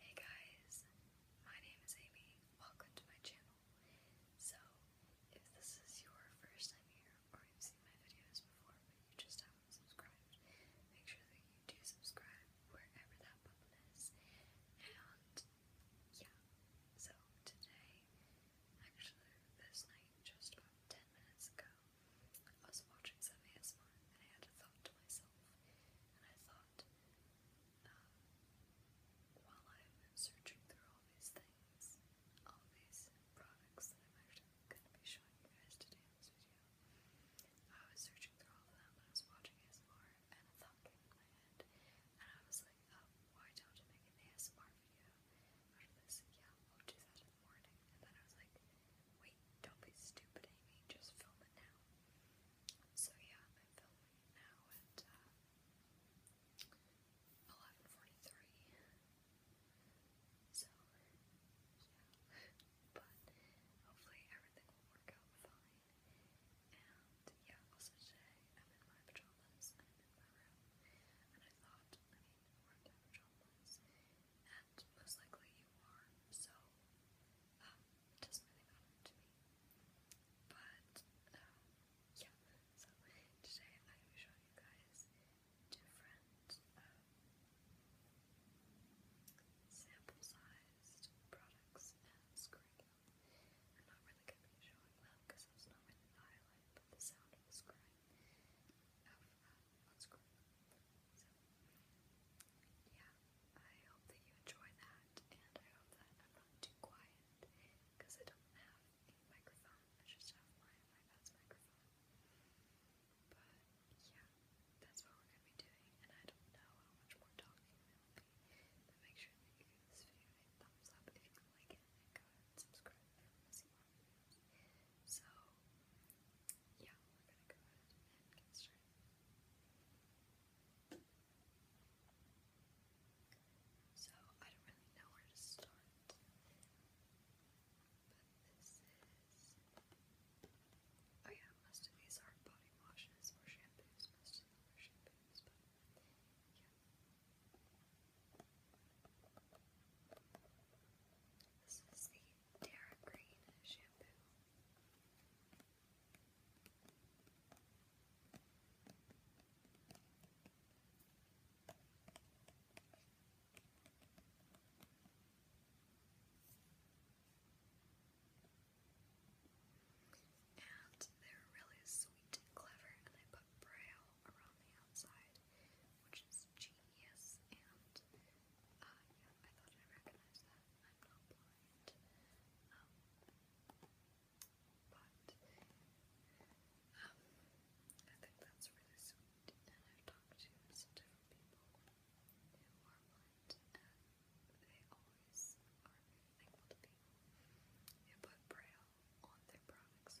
Hey guys, my name is Amy. Welcome to my channel. So, if this is your first time here or you've seen my videos before but you just haven't subscribed, make sure that you do subscribe wherever that button is. And yeah, so today, actually, this night, just about 10 minutes ago, I was watching some ASMR and I had a thought to myself. And I thought, um, while I'm searching through all these things, all these products that I'm going to be showing you guys today in this video, I was searching through all of them I was watching ASMR and a thought in my head and I was like, oh, why don't I make an ASMR video out this? Yeah, I'll do that in morning. And then I was like, Wait, don't be stupid, Amy. Just film it now. So yeah, I'm filming now at 11:43. Uh, so yeah, but hopefully everything will work out fine. And yeah, also today I'm in my pajamas and in my room, and I thought, I mean, we're in pajamas, and most likely you are, so. Um, it doesn't to me. But, um, yeah. So, today I will show you guys different um, sample-sized products and scrying I'm really going to be showing them because that's not really the highlight, but the sound of the scrying, yeah, I hope that you enjoy that, and I hope that I'm not too quiet, because I don't have a microphone, I just have my iPad's microphone. But, yeah, that's what we're going to be doing, and I don't know how much more talking there will be, but make sure you give this video a thumbs up if you like it, and go ahead and subscribe if you want more videos. So, yeah, we're gonna go ahead and get started. So I don't really know where to start, but this is. Oh yeah, most of these are body washes or shampoos. Most of them are shampoos, but This is the Terra Green shampoo. And they were really sweet and clever, and they put braille around the outside, which is genius. And uh, I thought I recognized that. I'm not blind. but I think that's really sweet, and I've talked to different people who are blind, and they always are thankful to people put braille on their products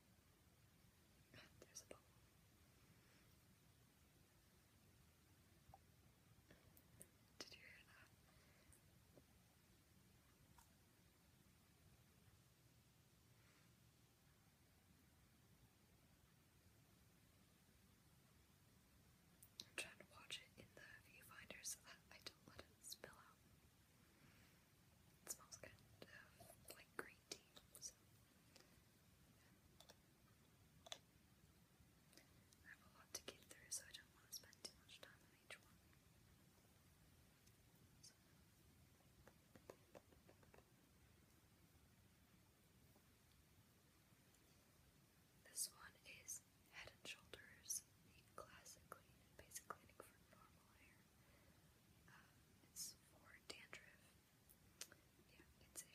There's Did you hear that? I'm trying to watch it in the viewfinder I don't let it spill out. It smells kind of um, like green tea, I have a lot to get through, so I don't want to spend too much time on each one. This one is Head and Shoulders, classic clean, basic cleaning for normal hair. Um, it's for dandruff. Yeah, it's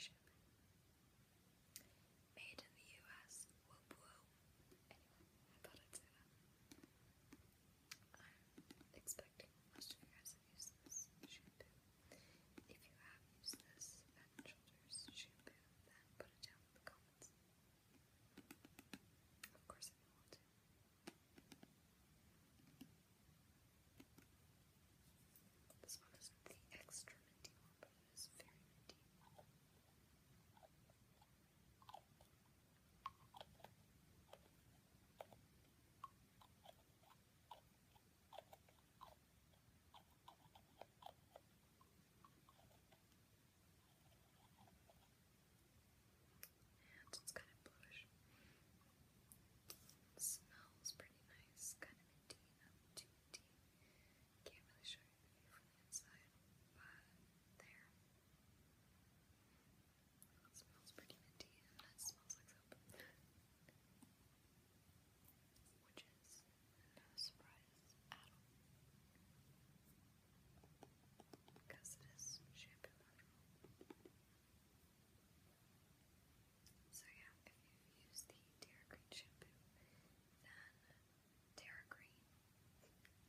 Made in the US. Whoop whoop. I thought I'd say that. I'm expecting most of you guys have used this shampoo. If you have used this shampoo, then put it down in the comments. Of course, if you want this one is the extra minty one, but it is very minty. And it's kind of bluish. smells pretty nice, kind of minty, minty. Can't really show you from inside, but there. smells pretty minty and it smells like soap. Which is no surprise Because it is shampoo so yeah, if you've the Terra Green shampoo, then Terra Green,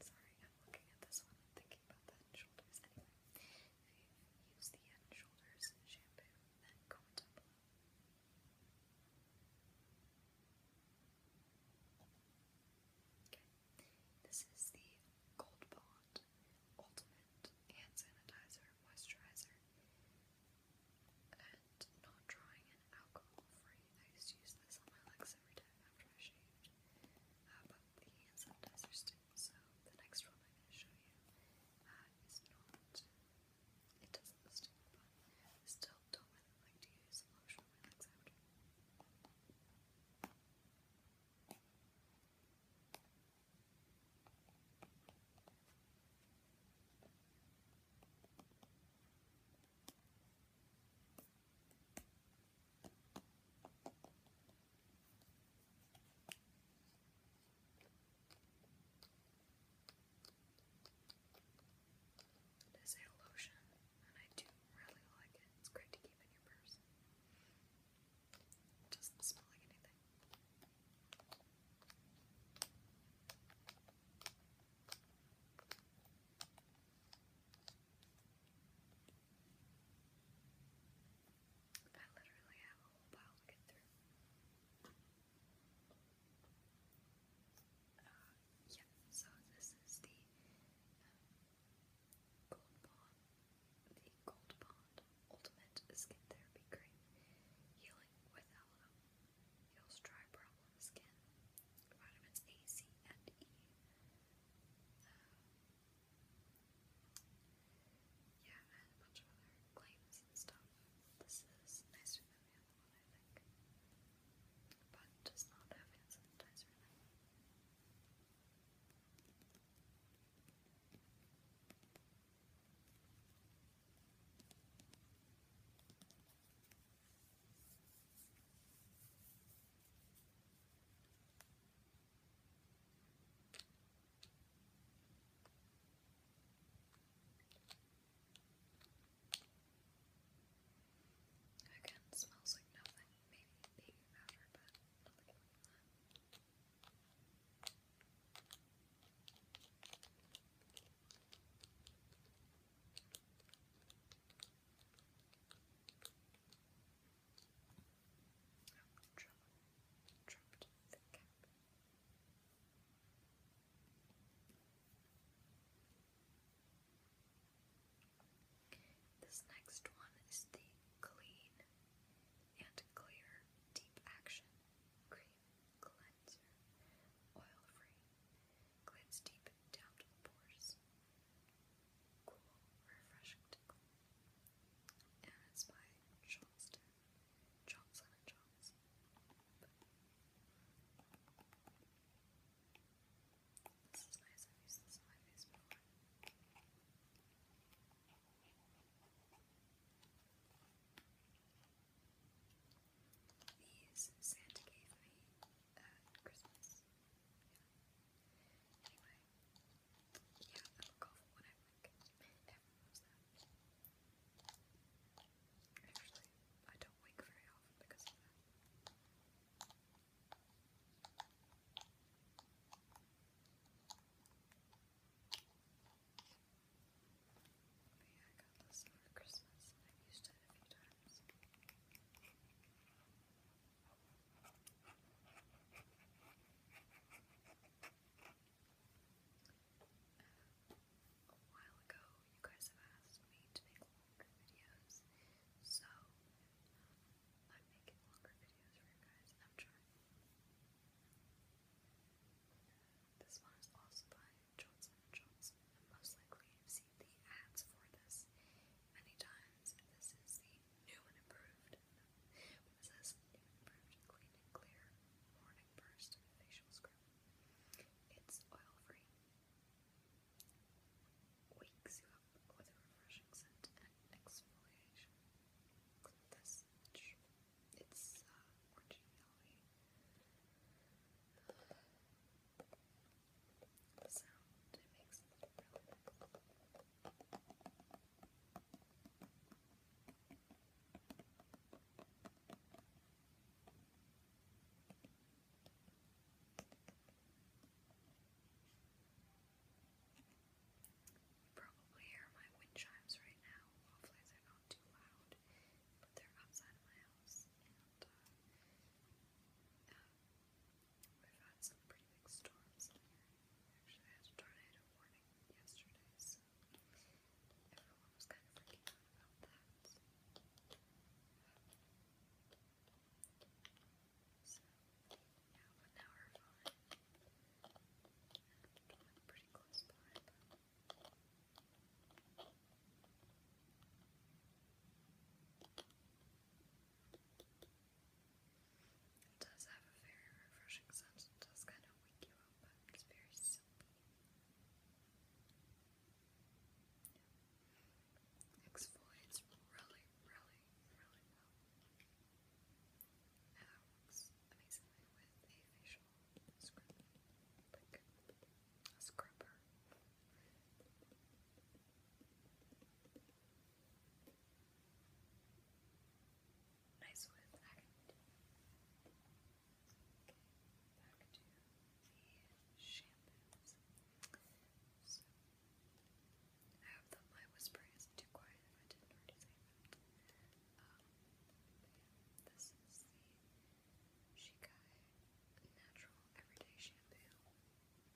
sorry, I'm looking at this one and thinking about the Shoulders anyway. If you've the Shoulders shampoo, then comment down Okay, this is the Gold Bond Ultimate Hand Sanitizer Moisturizer. And not drying and alcohol free. I used to use this on my legs every after I shaved. Uh, but the hand sanitizer stinks, so the next one I'm going to show you uh, is not. It doesn't stink, but still don't really like to use lotion on my legs after. It is a lotion, and I do really like it. It's great to keep in your purse. It doesn't smell like anything. I literally have a whole pile to get through. Uh, so this is the Gold Bond, the Gold Bond Ultimate Skin Therapy Cream, healing with aloe, heals dry problem skin, vitamins A, C, and E. yeah, and a bunch of other claims and stuff. This is nicer than the other one, I think, but does not have hand sanitizer in it. Again, smells like nothing. Maybe baby powder, but nothing like that dropped the This next one is the clean and clear deep action cream cleanser, oil-free, cleans deep down pores, cool, refreshing and it's by Johnston, Johnson and This is nice. I've this on my face these Santa gave me at Christmas. Anyway, yeah, I'm a golfer when Actually, I don't wake very often because of that yeah, I got this for Christmas and i used it a few times. A while ago, you guys have asked me to make longer videos, so I'm making longer videos for you guys. I'm trying. This one is also by Johnson & Johnson, most likely you've seen the ads for this many times. This is the new and improved, no, new improved clean and clear morning burst facial scrub. It's oil-free, wakes you up with a refreshing scent and exfoliation. This much. It's uh, The sound it makes is really cool. You probably hear my wind chimes right now. Hopefully they're not too loud, but they're outside my house. And uh, um, we've had some pretty big storms here. Actually, I had tornado warning yesterday, so everyone was kind of freaking out about that now does have a very refreshing scent. It does kind of wake you up, but it's very simple. Exfoliates really, really, really well. It works amazingly with a facial scrub, like a scrubber. Nice with back to the shampoos. I hope that my whisper isn't too quiet if I didn't already say um, yeah, this is the Shikai Natural Everyday Shampoo.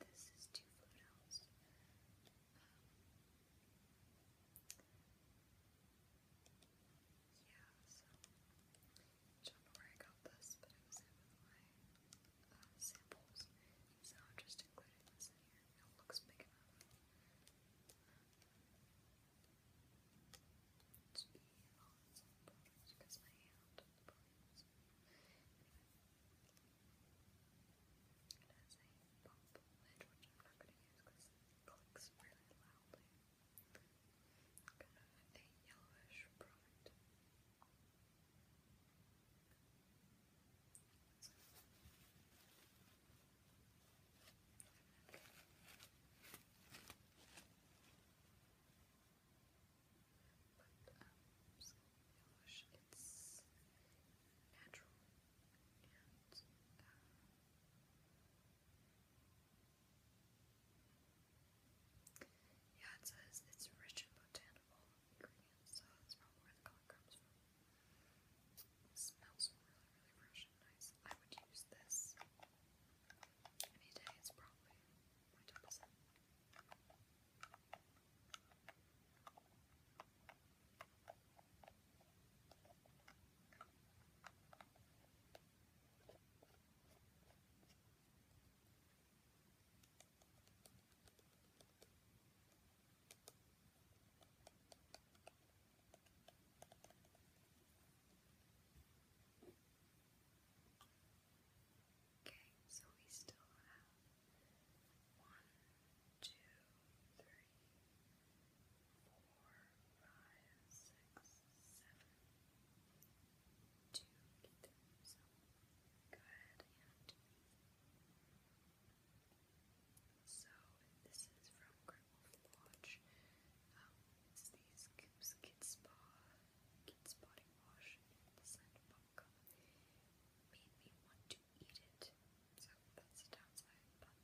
This is two fluid yeah, so don't know where I got this, but it was in with uh, samples, so I'm just including this in here. It looks big it's evil, it's because my hand the problems. Anyway. It has a pump lid, which I'm not going to use because it clicks really loudly. Kind of a yellowish product it's natural yeah, it says it's rich in botanical ingredients, so that's probably where the color comes from. It smells really, really fresh and nice. I would use this any day. It's probably my top set. Okay, so we still have one, two, three, four, five, six, seven, two, eight. and so this is from Grimwolf Lodge. Um, it's these Kip's Spa, Kids Body Wash in the Made me want to eat it. So that's the downside, but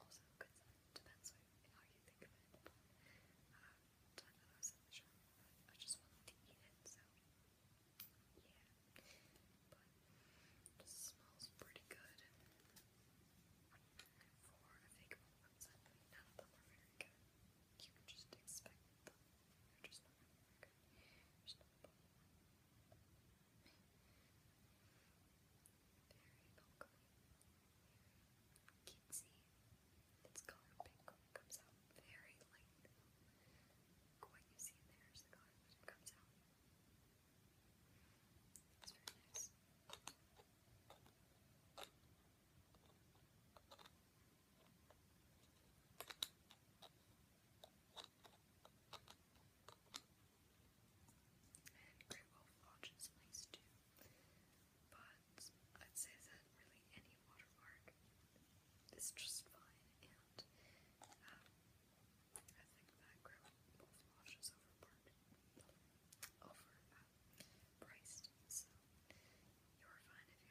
also good side. Depends on how you think of it. But uh, time that in the shop, I just wanted to eat it, so yeah. But just smells pretty good. For a fake romance, I mean, none of them are very good. You can just expect them. They're just not very good. There's not a bottom Very bubbly. Kitsy. Its color pink comes out very light. What you see in there is the color that it comes out. That's very nice. And nice too, but I'd say that really any waterpark is just fine, and um, you're fine if you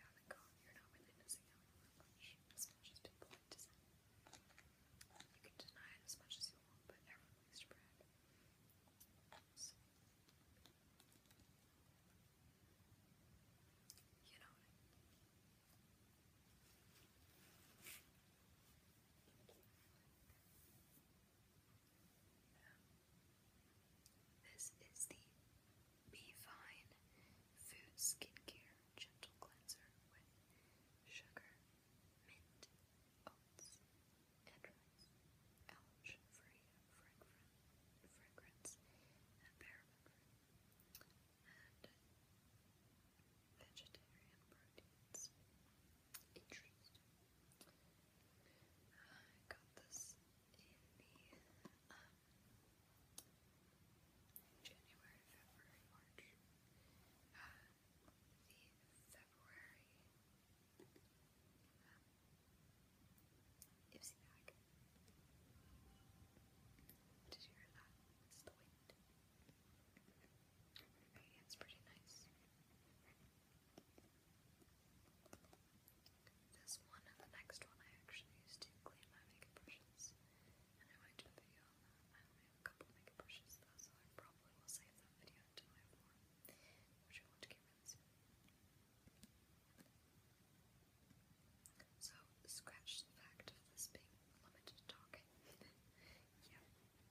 haven't gone. You're not really missing as much as people like You can deny it as much as you want, but everyone likes to brag. So, you know Thank you. This is the Be Food Skincare Gentle Cleanser with sugar, mint, oats, and rice, allergen-free fragrance, and paraben free, and vegetarian proteins. Interesting. I got this in the January, February, March. the February um, bag. Did you hear that? It's the wind. It's pretty nice. This one and the next one I actually use to clean my makeup brushes. And I might do a video on that. I only have a couple makeup brushes though, so I probably will save that video until I have more, which I want to get really soon. So, scratch the fact of this being limited talking. yeah, I you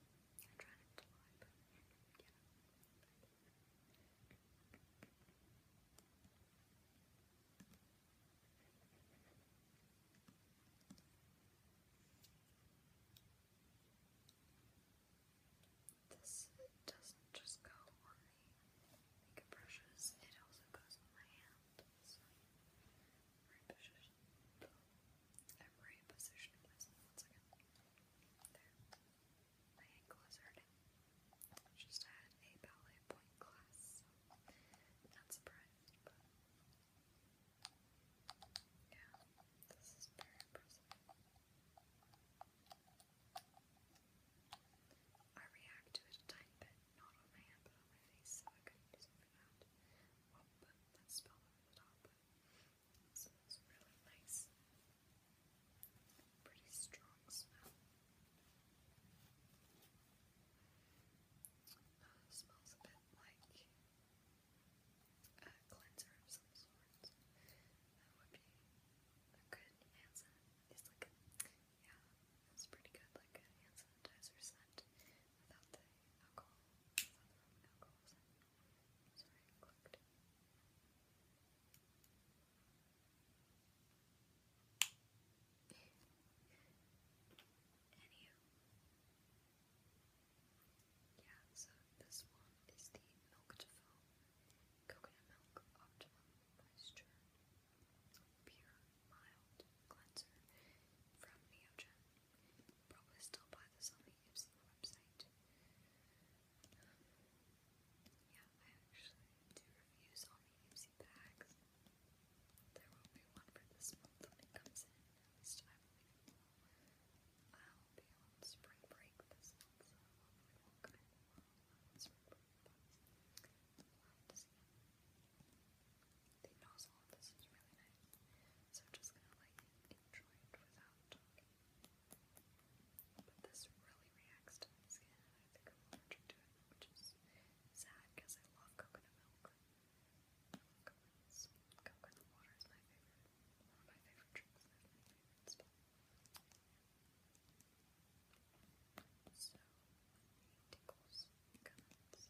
This doesn't just go on the makeup brushes, it also goes on my hand. So reposition, I'm repositioning myself one second. There. My ankle is hurting. Just had a ballet point class, not surprised, yeah, this is very impressive. I react to it a tiny bit, not on my hand, but on my face, so I couldn't do something but that's spelled over the top, but it smells really nice. Pretty strong smell. smells a bit like a cleanser of some sort. That would be a good hand scent. yeah, it's pretty good, like a hand sanitizer scent without the alcohol, Sorry, I Yeah, so this one is the Milk to Foam Coconut Milk Optimum Moisture Pure Mild Cleanser from Neogen. Probably still buy this on Bobby Gibson website. Um, yeah, I actually do reviews on the bags. There will be one for this month when it comes in, at least I will. be on spring break this month, so we'll come in while The nozzle of this is really nice, so I'm just gonna like enjoy it without talking but this really reacts to my skin, and I think I'm allergic to it, which is sad because I love coconut milk. Coconut water is my favorite. One of my favorite drinks. So, tickles, guns.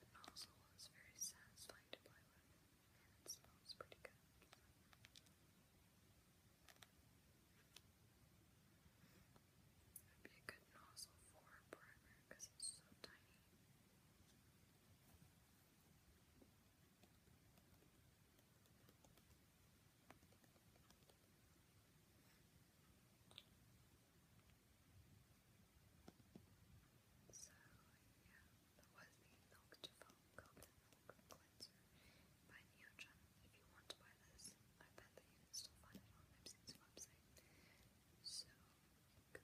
The nozzle is very satisfying to play with, and smells pretty good. would be a good nozzle for primer because it's so tiny. So, yeah, that was the Milk to Foam Goblin Milk Cleanser by Neogen. If you want to buy this, I bet that you can still find it on Ipsy's website. So, Although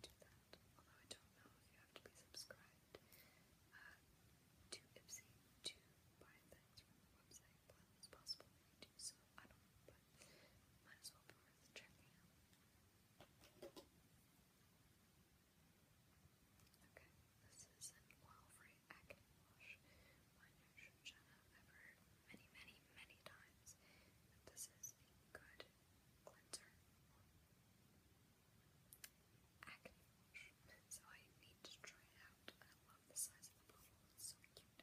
I don't know you have to be subscribed to Ipsy to buy things from website, but it's possible that do so. I don't, might as well be worth checking out. Okay, this is an oil-free acne wash. Mine should shut ever many, many, many times. this is a good cleanser. Acne wash. So I need to try it out. I love the size of the bottle. so cute.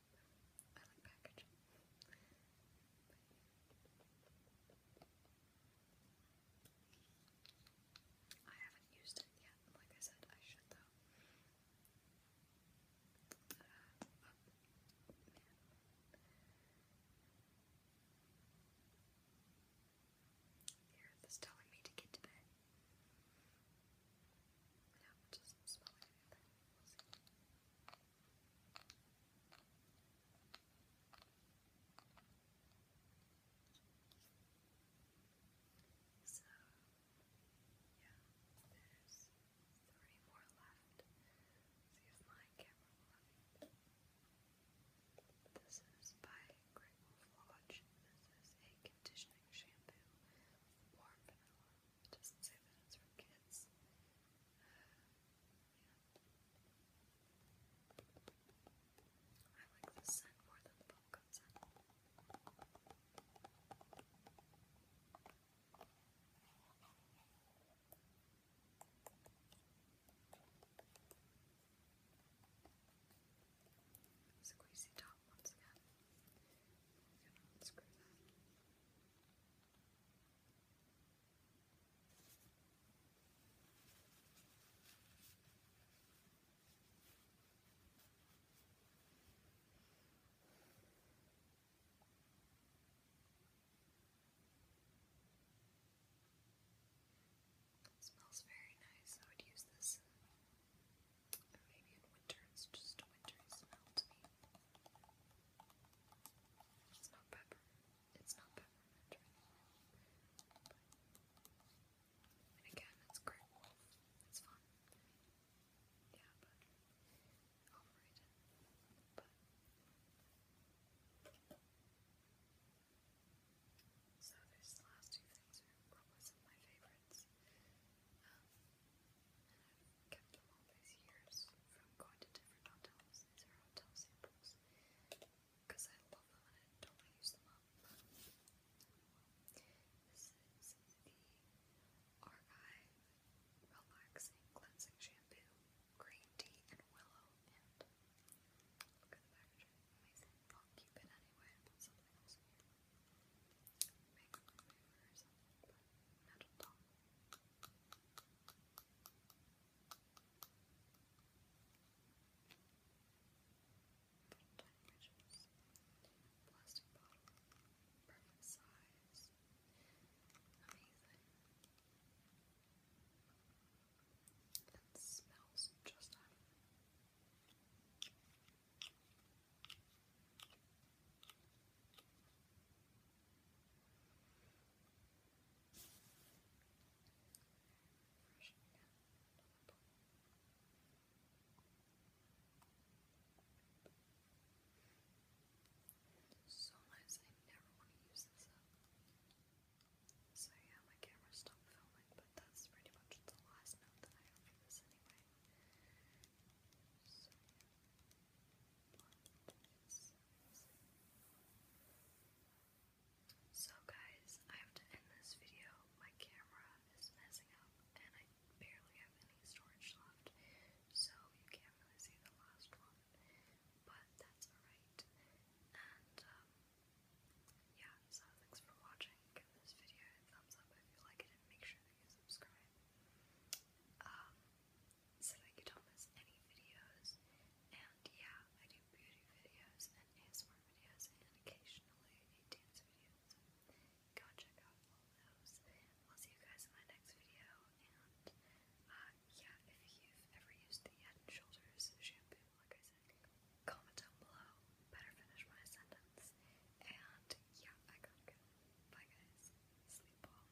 I like packaging. I haven't used it yet. Like I said, I should though. earth is telling me to get to bed. Yeah, it doesn't so, yeah, there's three more left. See if my camera will This is by Great Wolf Lodge. This is a conditioning shampoo, warm vanilla. It does say that it's for kids. I like the scent more than the bubblegum Squeezy top once again. I'm gonna unscrew that. It smells very nice. I would use this maybe in winter. It's just a wintry smell to me. It's not peppermint. It's not peppermint and again, it's great. It's fun. Yeah, but overrated. But so these last two things are probably some of my favorites. Um, kept them all these years from going to different hotels. These are hotel samples because I love them and I don't want to use them up. This is the Argyle Relaxing Cleansing Shampoo, Green Tea, and Willow. look at the packaging, amazing. I'll keep it anyway something else Make a remover or something, metal top measures, plastic bottle, perfect size, amazing. It smells just like so nice, I never want to use this up. So yeah, my camera stopped filming, but that's pretty much the last note that I have for this anyway. So guys, I have to end this video. My camera is messing up and I barely have any storage left, so you can't really see the last one. But that's alright. And um, yeah, so thanks for watching. Give this video a thumbs up if you like it and make sure that subscribe. Um, said I could almost any videos, and yeah, I do beauty videos and ASMR videos and occasionally dance videos. Go check out all those. I'll see you guys in my next video, and uh, yeah, if you've ever used the Head Shoulders shampoo, like I said, comment down below, better finish my sentence, and yeah, I gotta go. Bye guys, sleep well.